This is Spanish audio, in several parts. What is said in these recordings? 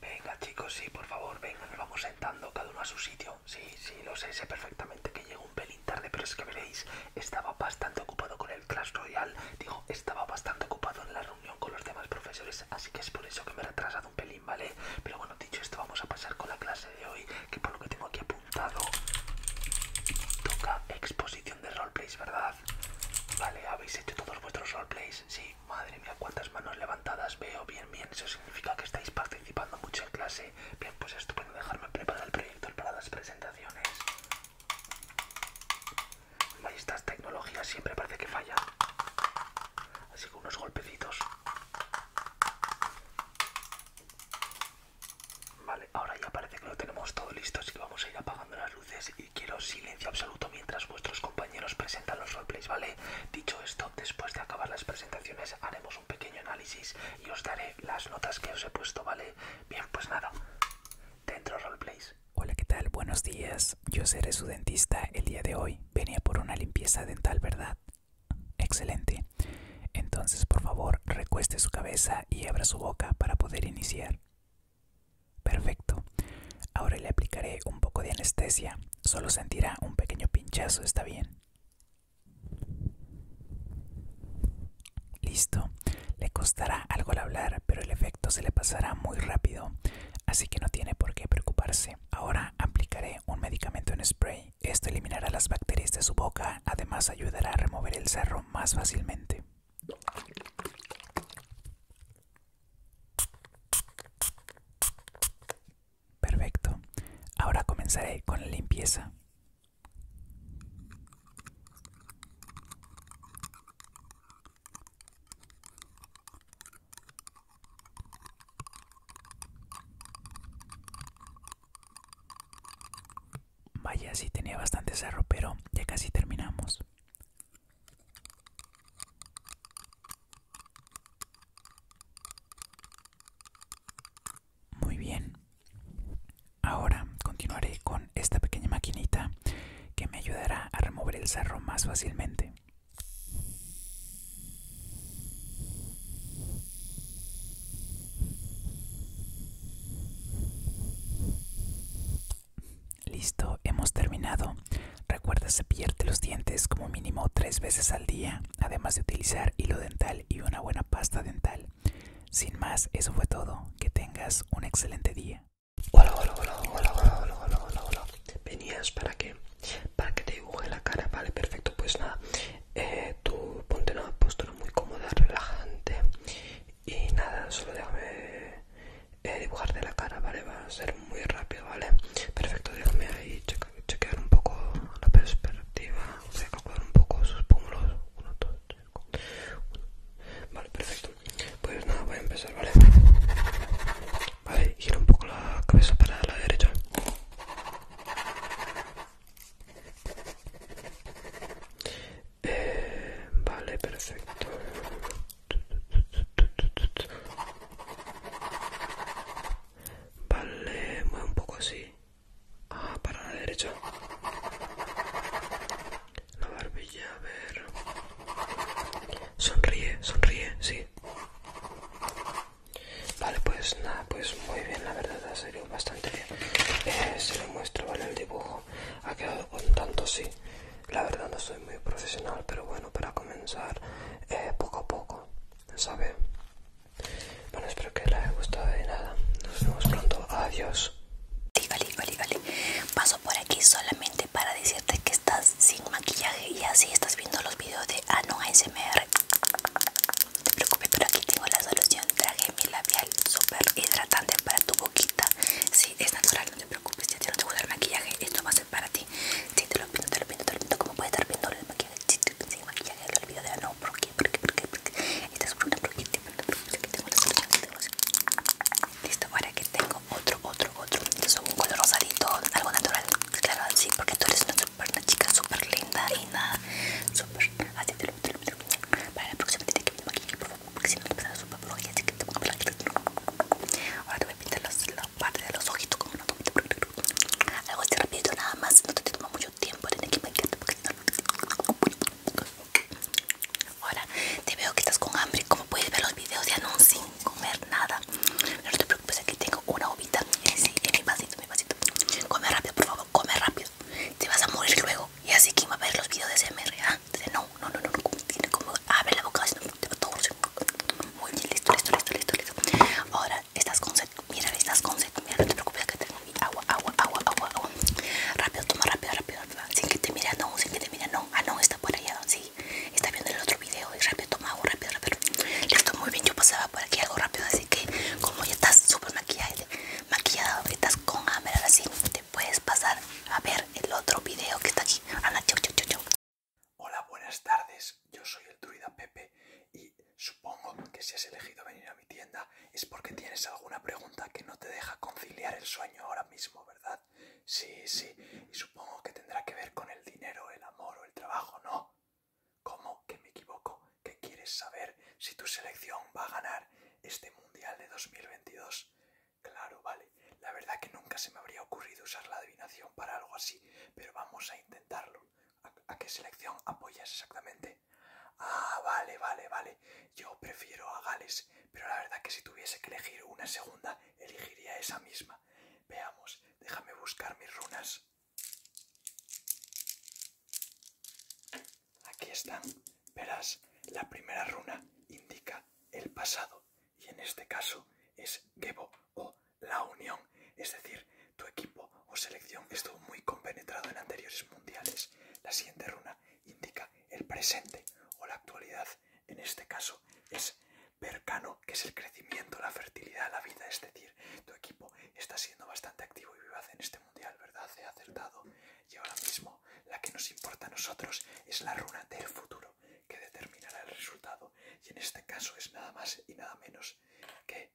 Venga chicos, sí, por favor, venga, nos vamos sentando cada uno a su sitio. Sí, sí, lo sé, sé perfectamente que llego un pelín tarde, pero es que veréis, estaba bastante ocupado con el Clash Royale, digo, estaba bastante ocupado en la reunión con los demás profesores, así que es por eso que me he retrasado un pelín, ¿vale? Pero bueno, dicho esto, vamos a pasar con la clase de hoy, que por lo que tengo aquí apuntado, toca exposición de roleplays, ¿verdad? Vale, habéis hecho todos vuestros roleplays, sí, madre mía, cuántas manos levantadas veo. Bien, bien, eso significa que estáis participando mucho en clase. Bien, pues estupendo dejarme preparar el proyecto para las presentaciones. Estas tecnologías siempre parece que falla Así que unos golpecitos. Vale, ahora ya parece que lo tenemos todo listo, así que vamos a ir apagando las y quiero silencio absoluto mientras vuestros compañeros presentan los roleplays, ¿vale? Dicho esto, después de acabar las presentaciones haremos un pequeño análisis y os daré las notas que os he puesto, ¿vale? Bien, pues nada, dentro roleplays. Hola, ¿qué tal? Buenos días. Yo seré su dentista el día de hoy. Venía por una limpieza dental, ¿verdad? Excelente. Entonces, por favor, recueste su cabeza y abra su boca para poder iniciar. Perfecto. Ahora le aplicaré un poco de anestesia. Solo sentirá un pequeño pinchazo, ¿está bien? Listo. Le costará algo al hablar, pero el efecto se le pasará muy rápido, así que no tiene por qué preocuparse. Ahora aplicaré un medicamento en spray. Esto eliminará las bacterias de su boca, además ayudará a remover el cerro más fácilmente. Perfecto. Ahora comenzaré con la limpieza. Vaya, sí tenía bastante cerro, pero ya casi terminamos. Muy bien. Ahora continuaré con esta pequeña maquinita que me ayudará a remover el cerro más fácilmente. Listo, hemos terminado. Recuerda pierde los dientes como mínimo tres veces al día, además de utilizar hilo dental y una buena pasta dental. Sin más, eso fue todo. Que tengas un excelente día. Hola, hola, hola, hola, hola, ¿Venías para qué? Para que te dibuje la cara. Vale, perfecto. Pues nada, eh, tú ponte una postura muy cómoda, relajante. Y nada, solo déjame eh, dibujar de la cara, ¿vale? Va a ser muy rápido, ¿vale? Perfecto, déjame ahí chequear un poco la perspectiva, voy a calcular un poco sus pómulos. Uno, dos, Vale, perfecto. Pues nada, voy a empezar, ¿vale? Vale, gira un poco la cabeza para la derecha. Eh, vale, perfecto. Vale, mueve un poco así. Ah, para la derecha. La barbilla, a ver. Sonríe, sonríe, sí. Vale, pues nada, pues muy bien, la verdad, ha salido bastante bien. Eh, se lo muestro, ¿vale? El dibujo ha quedado con tanto sí. La verdad no soy muy profesional, pero bueno, para comenzar eh, poco a poco, ¿sabe? Bueno, espero que les haya gustado de nada. Nos vemos pronto. Adiós. Vale, vale, Paso por aquí solamente para decirte que estás sin maquillaje y así estás viendo los videos de Anon ASMR. No te preocupes, pero aquí tengo la solución. Traje mi labial súper hidratante para tu boquita. Sí, es natural no te preocupes, si a ti no te gusta el maquillaje, esto va a ser para ti. Si te lo pinto, te lo pinto, te lo pinto, como puedes estar viendo el maquillaje, si te pinto el maquillaje, el video de no, ¿por qué? ¿Por qué? ¿Por qué? Esta es una porque tengo una solución de Listo, ahora que tengo otro, otro, otro. es un color rosadito, algo natural. Claro, sí, porque tú eres una, super, chica súper linda y nada, súper. Así te lo, te lo, te lo. Para la próxima, te que maquillaje, por favor porque si no te pasa súper y así que te pongo Ahora te voy a pintar la parte de los ojitos Algo así rapidito nada más, no te toma mucho tiempo, tienes que maquillarte porque si no... Ahora te veo que estás con hambre, como puedes ver los videos de no sin comer nada. no te preocupes, aquí tengo una ovita sí, en mi vasito, mi vasito. Come rápido, por favor, come rápido. Te vas a morir luego. Y así que iba a ver los videos de SMR. ¿ah? no, no, no, no, no, tiene como abre la boca, no, todo Muy listo, listo, listo, listo, listo. Ahora estás con sed, mira, estás con sed, mira, no te preocupes que tengo agua, agua, agua, agua, agua. Rápido, toma rápido, rápido, Sin que te mira, no, sin que te mira, no. Ah, no, está por allá, sí. Está viendo el otro video y rápido, toma agua, rápido, rápido. Listo, muy bien, yo pasaba por aquí algo rápido, así que como ya estás súper maquillada, maquillada, estás con hambre, ahora puedes pasar a ver el otro video que está aquí. Hola, buenas tardes. Yo soy el druida Pepe y supongo que si has elegido venir a mi tienda es porque tienes alguna pregunta que no te deja conciliar el sueño ahora mismo, ¿verdad? Sí, sí. Y supongo que tendrá que ver con el dinero, el amor o el trabajo, ¿no? ¿Cómo que me equivoco? ¿Qué quieres saber si tu selección va a ganar este Mundial de 2022? Claro, vale. La verdad que nunca se me habría ocurrido usar la adivinación para algo así, pero vamos a intentarlo. ¿A, qué selección apoyas exactamente? Ah, vale, vale, vale. Yo prefiero a Gales, pero la verdad que si tuviese que elegir una segunda, elegiría esa misma. Veamos, déjame buscar mis runas. Aquí están. Verás, la primera runa indica el pasado y en este caso es Gebo o la unión. Es decir, tu equipo o selección estuvo muy compenetrado en anteriores mundiales. La siguiente runa indica el presente o la actualidad. En este caso es Percano, que es el crecimiento, la fertilidad, la vida. Es decir, tu equipo está siendo bastante activo y vivaz en este mundial, ¿verdad? He acertado. Y ahora mismo la que nos importa a nosotros es la runa del futuro, que determinará el resultado. Y en este caso es nada más y nada menos que...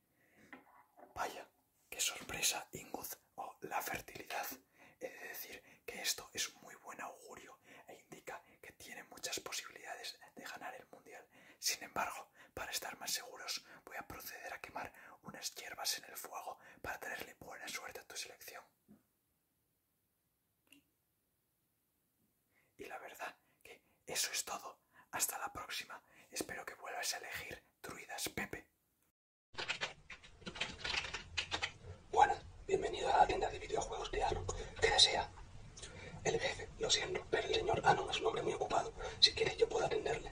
Vaya, qué sorpresa, Inguz, o la fertilidad. He de decir que esto es muy buen augurio e indica que tiene muchas posibilidades de ganar el mundial. Sin embargo, para estar más seguros, voy a proceder a quemar unas hierbas en el fuego para traerle buena suerte a tu selección. Y la verdad que eso es todo. Hasta la próxima. Espero que vuelvas a elegir Druidas Pepe. Bueno, bienvenido a la tienda de videojuegos de Anon. ¿Qué desea? El jefe, lo siento, pero el señor Anon es un hombre muy ocupado. Si quiere yo puedo atenderle.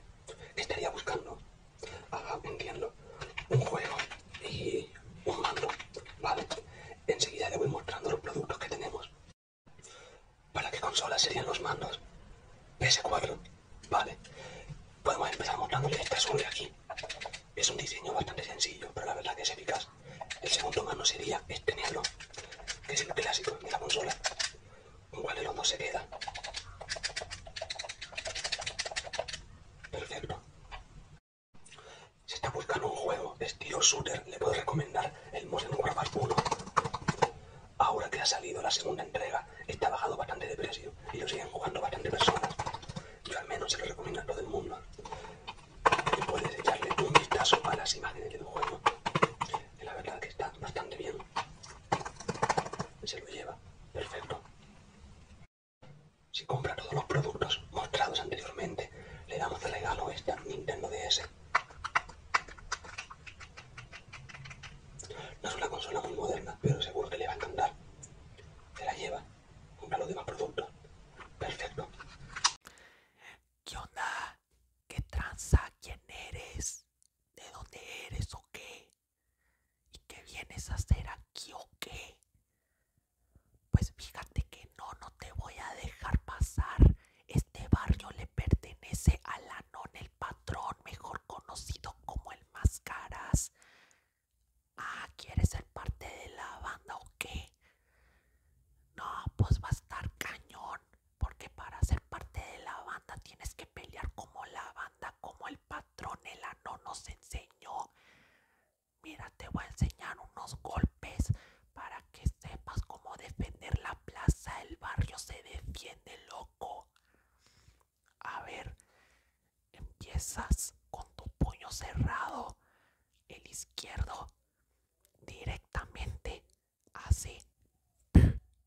¿Qué estaría buscando? Haga entiendo. Un juego y un mando. Vale. Enseguida le voy mostrando los productos que tenemos. ¿Para qué consola serían los mandos? PS4. Vale. Podemos empezar mostrando este azul de aquí. Es un diseño bastante sencillo, pero la verdad que es eficaz. El segundo mando sería este negro, que es el clásico de la consola. Un el no se queda. Perfecto. Si está buscando un juego estilo shooter, le puedo recomendar el Modern Warfare 1. Ahora que ha salido la segunda entrega, está bajado bastante de precio y lo siguen jugando bastante personas. Yo al menos se lo recomiendo a todo el mundo. puedes echarle un vistazo a las imágenes tu juego. La verdad que está bastante bien. Se lo lleva. Perfecto. Si compra todos los productos mostrados anteriormente, le damos de regalo esta Nintendo DS. No es una consola muy moderna, pero seguro que le va a encantar. Se la lleva, compra los demás productos. Perfecto. ¿Qué onda? ¿Qué tranza? ¿Quién eres? ¿De dónde eres o qué? ¿Y qué vienes a hacer aquí o qué? Pues fíjate que no, no te voy a dejar pasar. Este barrio le pertenece a Lanón el patrón, mejor conocido como el Máscaras. Ah, ¿quieres ser parte de la banda o qué? No, pues va a estar cañón, porque para ser parte de la banda tienes que pelear como la banda, como el Patronela no nos enseñó. Mira, te voy a enseñar unos golpes para que sepas cómo defender la plaza. El barrio se defiende, loco. A ver, empiezas con tu puño cerrado, el izquierdo, directamente así. Y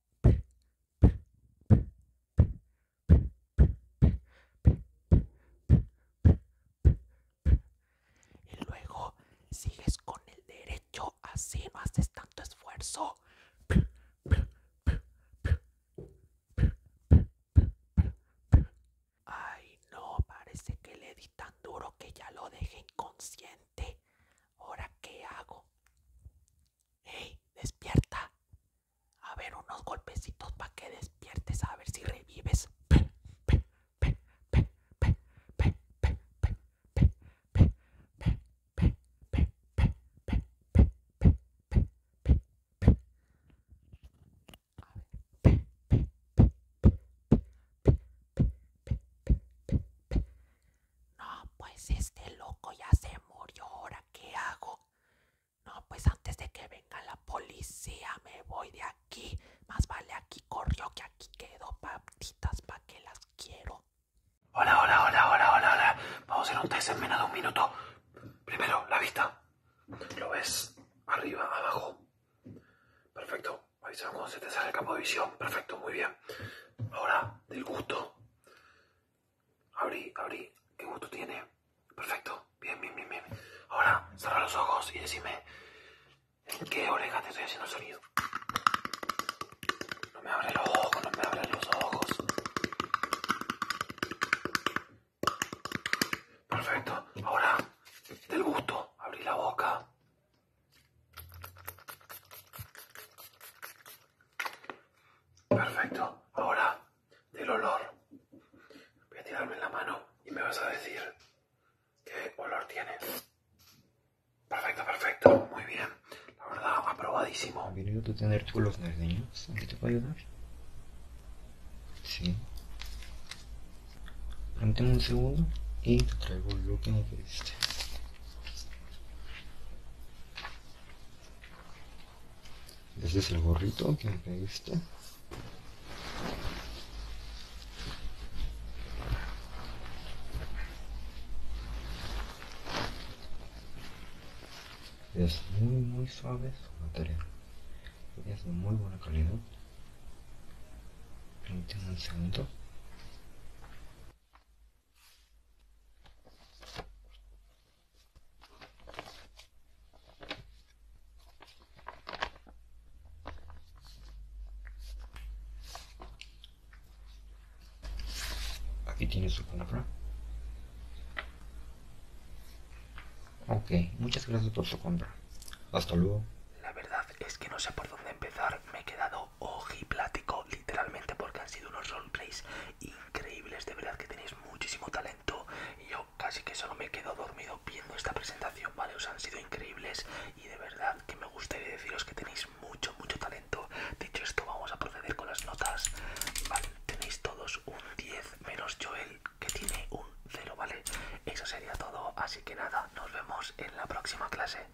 luego sigues con el derecho, así no haces tanto esfuerzo. Ay, no, parece que le di tan duro que ya lo dejé inconsciente. Ahora, ¿qué hago? ¡Ey, despierta! A ver, unos golpecitos para que despiertes, a ver si revives. No, pues este loco ya se murió, ahora qué hago. No, pues antes de que venga la policía me voy de aquí. Más vale aquí corrió que aquí quedo, patitas pa' que las quiero. Hola, hola, hola, hola, hola, hola. Vamos a ir un test en menos de un minuto. Primero, la vista. Lo ves arriba, abajo. Perfecto. avisamos cuando se te sale el campo de visión. Perfecto, muy bien. Ahora, del gusto. Abrí, abrí. ¿Qué gusto tiene? Perfecto. Bien, bien, bien, bien. Ahora, cerra los ojos y decime en qué oreja te estoy haciendo el sonido. No me abres los ojos, no me abres los ojos. Perfecto. Ahora, del gusto, abrí la boca. Perfecto. Ahora, del olor. Voy a tirarme en la mano y me vas a decir qué olor tiene. Perfecto, perfecto. Muy bien. La verdad, aprobadísimo. Bienvenido a tener tu los niños ¿En te puedo ayudar? Sí. Permíteme un segundo y te traigo lo que me pediste. Este es el gorrito que me pediste. Es muy muy suave su material. Es de muy buena calidad. un segundo. Aquí tiene su compra. Ok, muchas gracias por su compra. Hasta luego. La verdad es que no sé por dónde empezar. Me he quedado plático, literalmente, porque han sido unos roleplays increíbles. De verdad que tenéis muchísimo talento. Y yo casi que solo me quedo dormido viendo esta presentación, ¿vale? Os han sido increíbles y de verdad que me gustaría deciros que tenéis mucho, mucho talento. Dicho esto, vamos a proceder con las notas. Vale, tenéis todos un 10 menos Joel, que tiene un 0, ¿vale? Eso sería todo, así que nada, nos vemos en la próxima clase.